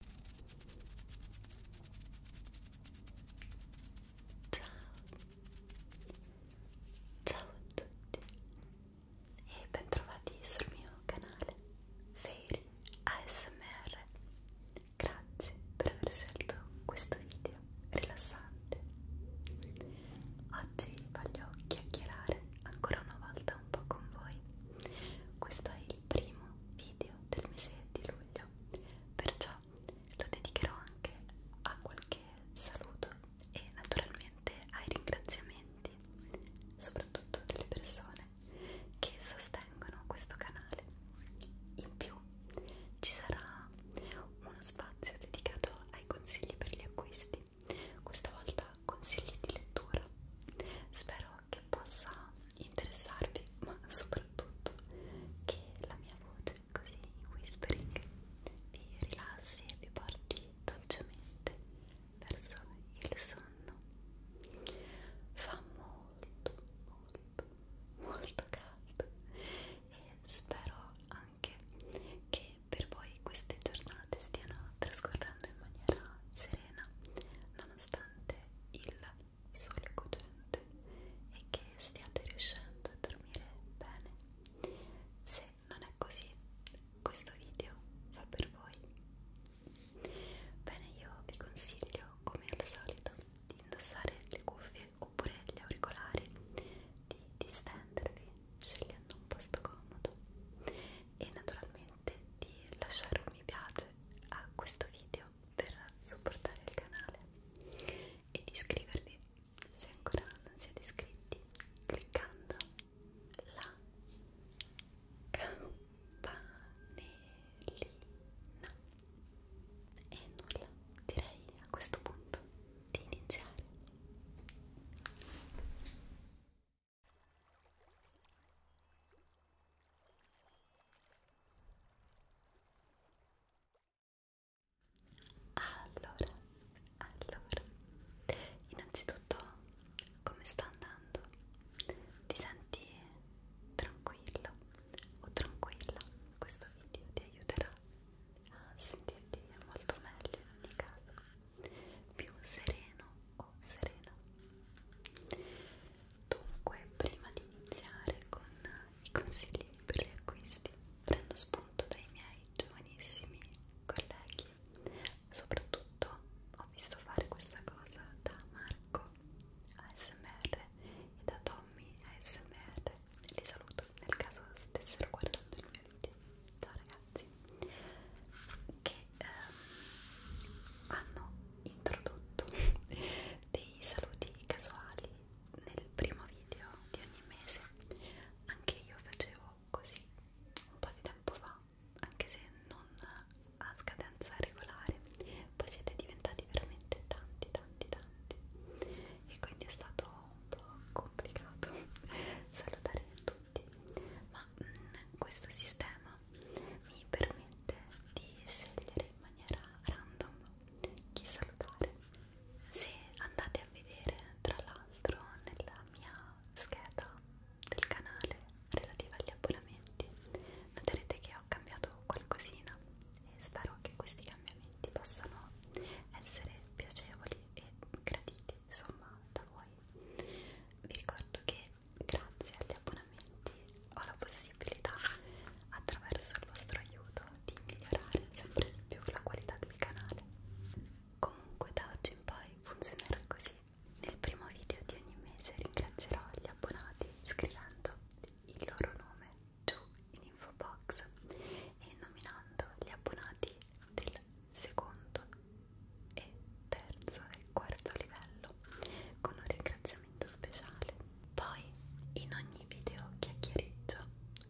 Ciao, ciao a tutti e bentrovati sul mio canale Fairy ASMR. Grazie per aver scelto questo video rilassante. Oggi voglio chiacchierare ancora una volta un po' con voi. Questo è il il primo video del mese di luglio, perciò lo dedicherò anche a qualche saluto e naturalmente ai ringraziamenti, soprattutto delle persone che sostengono questo canale. In più ci sarà uno spazio dedicato ai consigli per gli acquisti, questa volta consigli di lettura. Spero che possa interessarvi, ma soprattutto che la mia voce così in whispering vi rilassi e vi porti dolcemente verso il sonno. Fa molto, molto, molto caldo e spero anche che per voi queste giornate stiano trascorrendo in maniera serena nonostante importante il sole cogente e che stiate riuscendo a dormire bene. Se non è così, questo video fa per voi. Bene, io vi consiglio, come al solito, di indossare le cuffie oppure gli auricolari, di distendervi scegliendo un posto comodo e naturalmente di lasciare un mi piace like a questo video per supportare il canale e di iscrivervi se ancora non siete iscritti cliccando la campanellina e nulla direi a questo punto di iniziare allora, allora, innanzitutto come sta andando? Ti senti tranquillo o tranquilla? Questo video ti aiuterà a sentirti molto meglio in ogni caso, più sereno o serena. Dunque, prima di iniziare con i consigli per gli acquisti, prendo spunto dai miei giovanissimi colleghi. Soprattutto ho visto fare questa cosa da Marco ASMR e da Tommy ASMR. Li saluto nel caso stessero guardando il mio video. Ciao ragazzi! Che ehm, hanno introdotto dei saluti casuali nel primo video di ogni mese anche io facevo così un po' di tempo fa anche se non a scadenza regolare poi siete diventati veramente tanti tanti tanti e quindi è stato un po' complicato salutare tutti ma mh, mm, questo sistema mi permette di scegliere in maniera random chi salutare. Se andate a vedere tra l'altro nella mia scheda del canale relativa agli abbonamenti, noterete che ho cambiato qualcosina e spero che questi cambiamenti possano essere piacevoli e graditi insomma da voi. Vi ricordo che grazie agli abbonamenti ho la possibilità attraverso il vostro aiuto di migliorare sempre di più la qualità del canale comunque da oggi in poi funzionerà così nel primo video di ogni mese ringrazierò gli abbonati scrivendo il loro nome giù in info box e nominando gli abbonati del secondo e terzo e quarto livello con un ringraziamento speciale. Poi in ogni video chiacchiereggio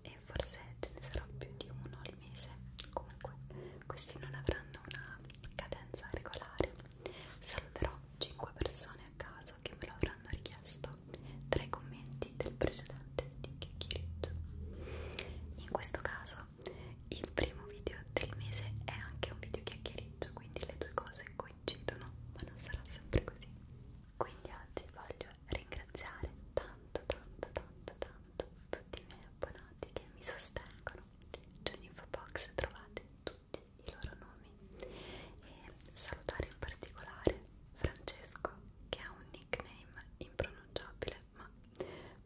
e forse ce ne sarà più di uno al mese, comunque questi non avranno una cadenza regolare. Saluterò 5 persone a caso che me lo avranno richiesto tra i commenti del precedente di chiacchiereggio. In questo caso il primo video del mese è anche un video chiacchiereggio parcheggio, quindi le due cose coincidono, ma non sarà sempre così. Quindi oggi voglio ringraziare tanto, tanto, tanto, tanto tutti i miei abbonati che mi sostengono. Giù in infobox trovate tutti i loro nomi e salutare in particolare Francesco che ha un nickname impronunciabile ma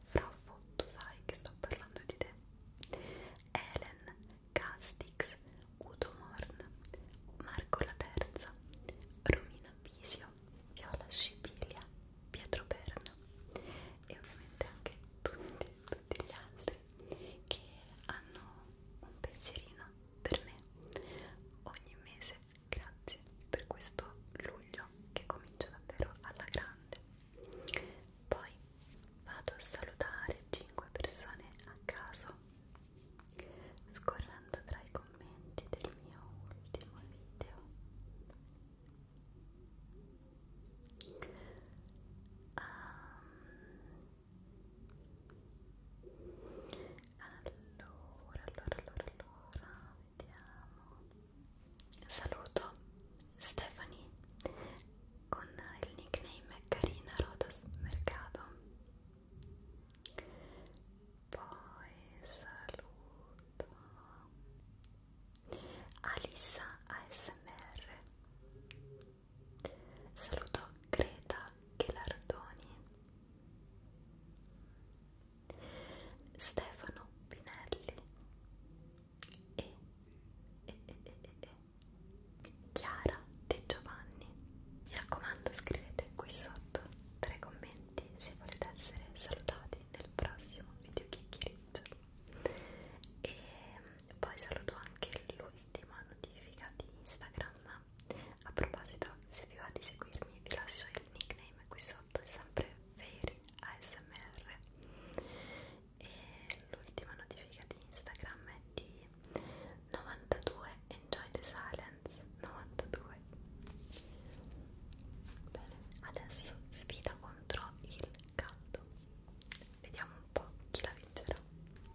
fra tu sai che sto parlando di te Elen, Castix, Udo Morn, Marco la Terza, Romina Pisio, Viola Scipilia, Pietro Perna e ovviamente anche tutti, tutti gli altri che hanno un pensierino per me ogni mese. Grazie per questo luglio che comincia davvero alla grande. Poi vado a salutare 5 persone a caso, scorrendo tra i commenti del mio ultimo video. Um, allora, allora, allora, allora, vediamo. Saluto Stephanie con il nickname Carina Rodas Mercado poi saluto Alissa ASMR saluto Greta Ghelardoni Stefano Pinelli e, e, e, e, e, e Chiara De Giovanni. Mi raccomando, scrivete qui sotto tra i commenti se volete essere salutati nel prossimo video chiacchiericcio. E poi saluto anche l'ultima notifica di Instagram. A proposito, se vi va di seguirmi, vi lascio il nickname qui sotto, è sempre Veri ASMR e l'ultima notifica di Instagram è di 92 Enjoy the Silence 92 Bene, adesso sfida contro il caldo Vediamo un po' chi la vincerà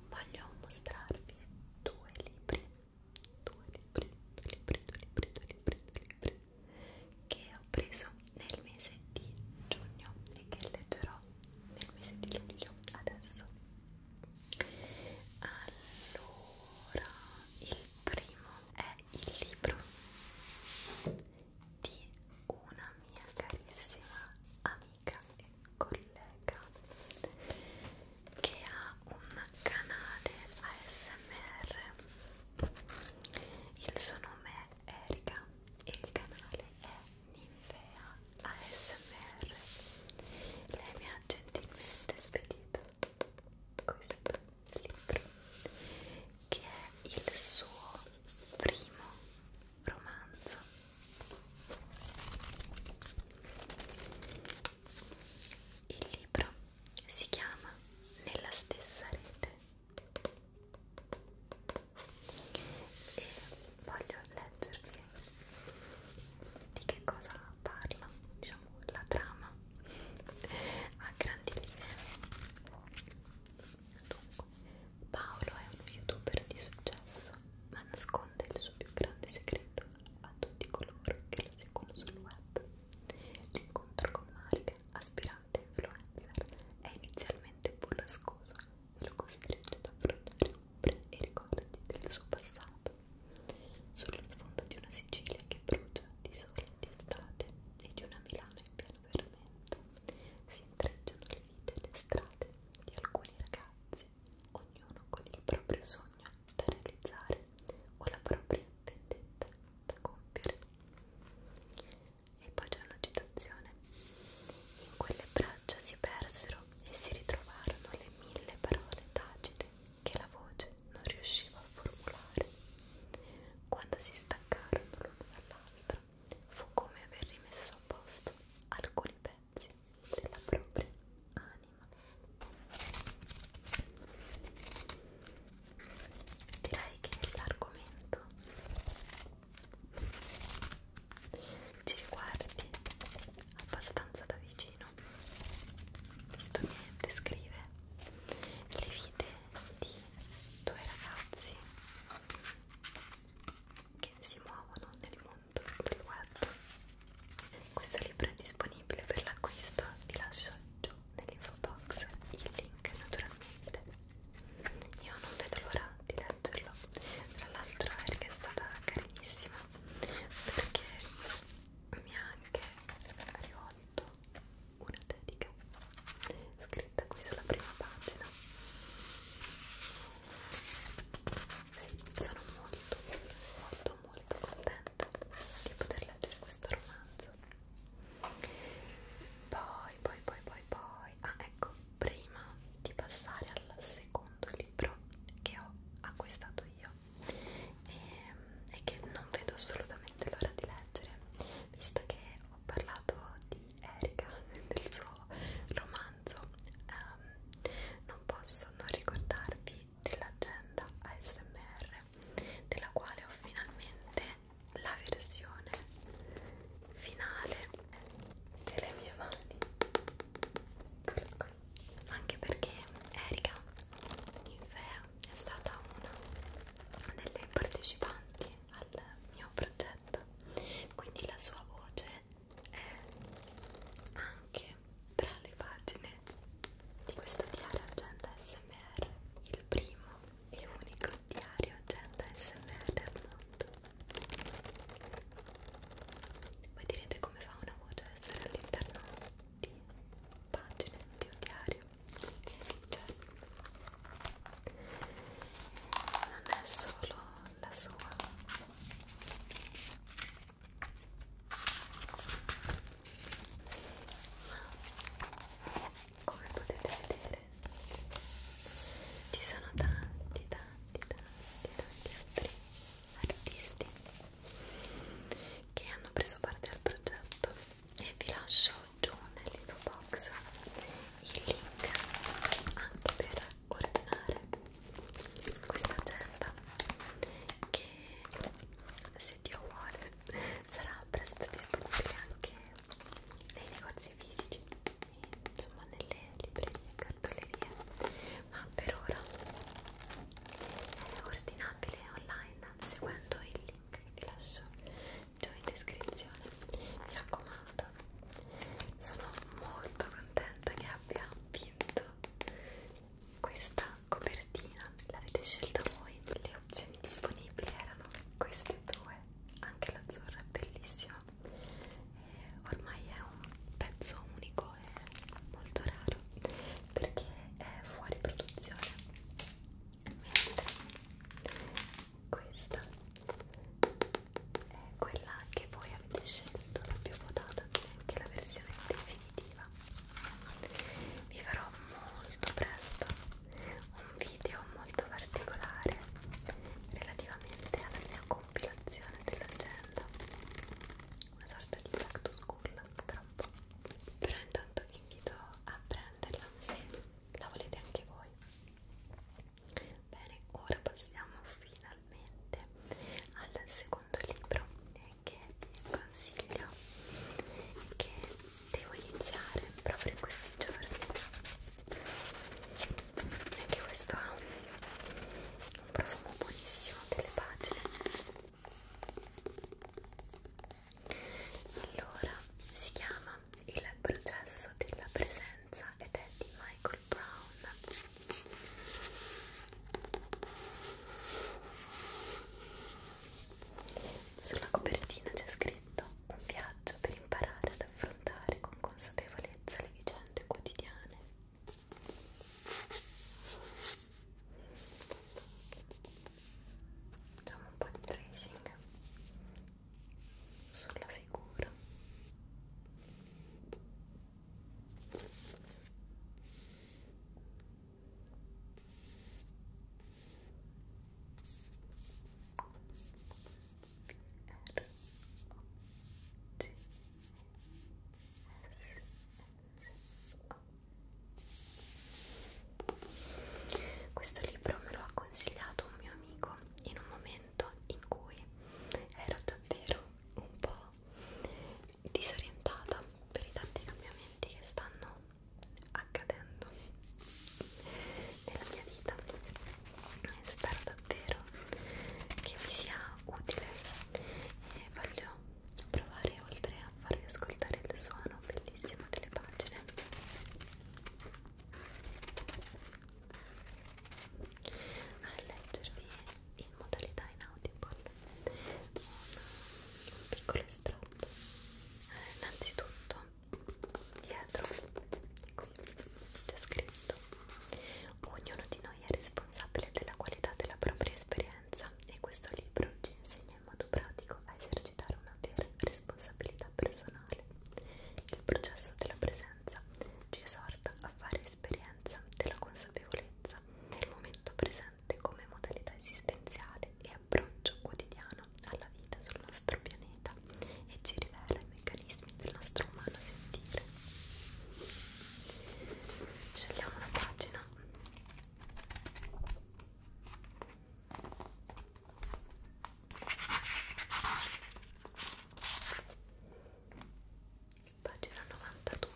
Voglio mostrarvi due libri Due libri, due libri, due libri, due libri, due libri che ho preso nel mese di giugno e che leggerò nel mese di luglio adesso allora il primo è il libro di una mia carissima amica e collega che ha un canale ASMR il suo nome è Erika il canale è Ninfea ASMR lei mi ha gentilmente spedito questo libro che è il suo primo romanzo il libro si chiama Nella stessa rete e voglio leggervi di che cosa parla, diciamo la trama a grandi linee. Dunque, Paolo è uno youtuber di successo, ma nasconde il suo più grande segreto a tutti coloro che lo seguono sul web. L'incontro con Marga aspira diventato influencer è inizialmente pura scusa e lo costringe ad affrontare ombre e ricordi del suo passato sullo sfondo di una Sicilia che brucia di sole e di estate e di una Milano in pieno fermento si intrecciano le vite e le strade di alcuni ragazzi ognuno con il proprio sogno da realizzare o la propria vendetta da compiere e poi c'è una citazione. In quelle braccia si persero e si ritrovarono le mille parole tacite che la voce non riusciva a formulare. Quando si staccarono l'uno dall'altro, fu come aver rimesso a posto alcuni pezzi della propria anima. Direi che l'argomento ci riguardi abbastanza da vicino visto che descrive le vite di due ragazzi che si muovono nel mondo del web questo libro è disponibile per l'acquisto vi lascio giù nell'info box il link naturalmente io non vedo l'ora di leggerlo tra l'altro Erika è stata carinissima perché mi ha anche rivolto una dedica scritta qui sulla prima pagina sì, sono molto molto molto contenta di poter leggere questo romanzo poi, poi, poi, poi, poi, ah ecco, prima di passare al secondo libro che ho acquistato io e, ehm, e che non vedo assolutamente l'ora di leggere, visto che ho parlato di Erika, del suo romanzo, um, non posso non ricordarvi dell'agenda ASMR della quale ho finalmente è la versione finale delle mie mani anche perché Erika Ninfea è stata una delle partecipanti al mio progetto quindi la sua voce è anche tra le pagine di questo diario agenda smr il primo e unico diario agenda smr al mondo voi direte come fa una voce a essere all'interno di pagine di un diario cioè non è solo la sua ma come potete vedere ci sono tanti tanti tanti tanti altri artisti che hanno preso parte al progetto e vi lascio giù nell'info box il link anche per ordinare questa agenda che se Dio vuole sarà presto disponibile anche nei negozi fisici insomma nelle librerie e cartolerie ma per ora è ordinabile online seguendo il link che vi lascio giù in descrizione mi raccomando sono molto contenta che abbia vinto questa copertina l'avete scelta voi le opzioni disponibili erano queste due è anche l'azzurra è bellissima e eh, ormai è un pezzo unico e molto raro perché è fuori produzione mentre questa è quella che voi avete scelto la più votata che è la versione definitiva vi farò molto presto un video molto particolare relativamente alla mia compilazione dell'agenda una sorta di back to school tra un po' però intanto vi invito a prenderla se la volete anche voi bene ora passiamo finalmente al secondo libro eh, che vi consiglio che devo iniziare proprio in questi giorni anche questo ha un profumo buonissimo delle pagine allora si chiama il processo della presenza ed è di Michael Brown sulla copertina c'è scritto detto, un viaggio per imparare ad affrontare con consapevolezza le vicende quotidiane. Facciamo un po' di tracing sulla figura. Questo libro me lo ha consigliato un mio amico in un momento in cui ero davvero un po' disorientata per i tanti cambiamenti che stanno accadendo nella mia vita e spero davvero che vi sia utile e voglio provare oltre a farvi ascoltare il suono bellissimo delle pagine a leggervi in modalità inaudible un piccolo estratto eh, innanzitutto dietro qui c'è scritto ognuno di noi è responsabile della qualità della propria esperienza e questo libro ci insegna in modo pratico a esercitare una vera responsabilità personale il processo della presenza ci esorta a fare esperienza della consapevolezza nel momento presente come modalità esistenziale e riapproccio quotidiano alla vita sul nostro pianeta e ci rivela i meccanismi del nostro umano sentire. Scegliamo una pagina. Pagina 92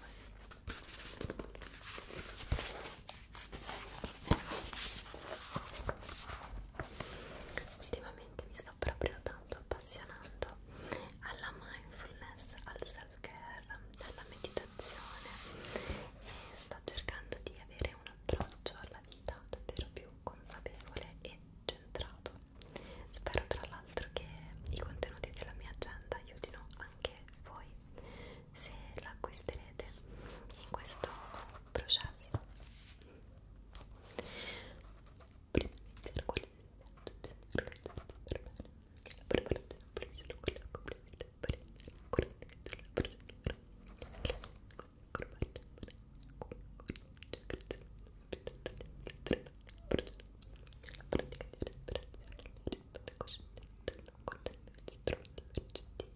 Ultimamente mi sto proprio tanto appassionando alla mindfulness, al self-care, alla meditazione e sto cercando di avere un approccio alla vita davvero più consapevole e centrato. Spero tra l'altro che i contenuti della mia agenda aiutino anche voi se l'acquisterete in questo processo prima di iniziare con il metodo bisogna organizzarsi per bene la preparazione pulisce con la coprita per iniziare con la procedura la pratica di respirazione, la risposta cosciente, contando gli strumenti emergenti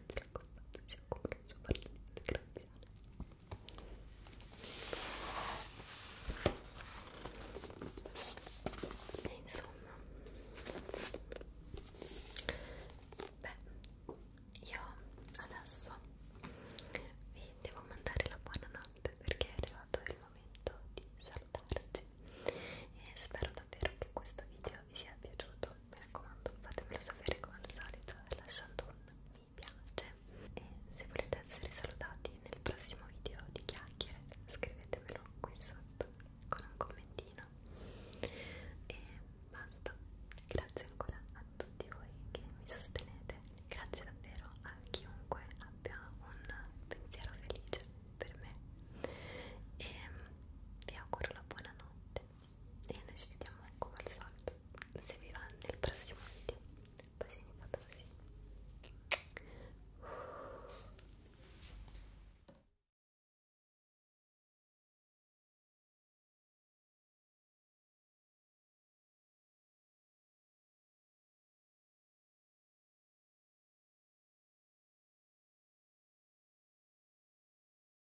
mi raccomando si occupa di e insomma beh io adesso vi devo mandare la buonanotte perché è arrivato il momento di salutarci e spero davvero che questo video video vi sia piaciuto mi raccomando fatemelo sapere come al solito lasciando un mi piace e se volete essere salutati nel prossimo video di chiacchiere scrivetemelo qui sotto con un commentino e basta grazie ancora a tutti voi che mi sostenete grazie davvero a chiunque abbia un pensiero felice per me e vi auguro la buona notte e noi ci vediamo come al solito se vi va nel prossimo video bacini fatosi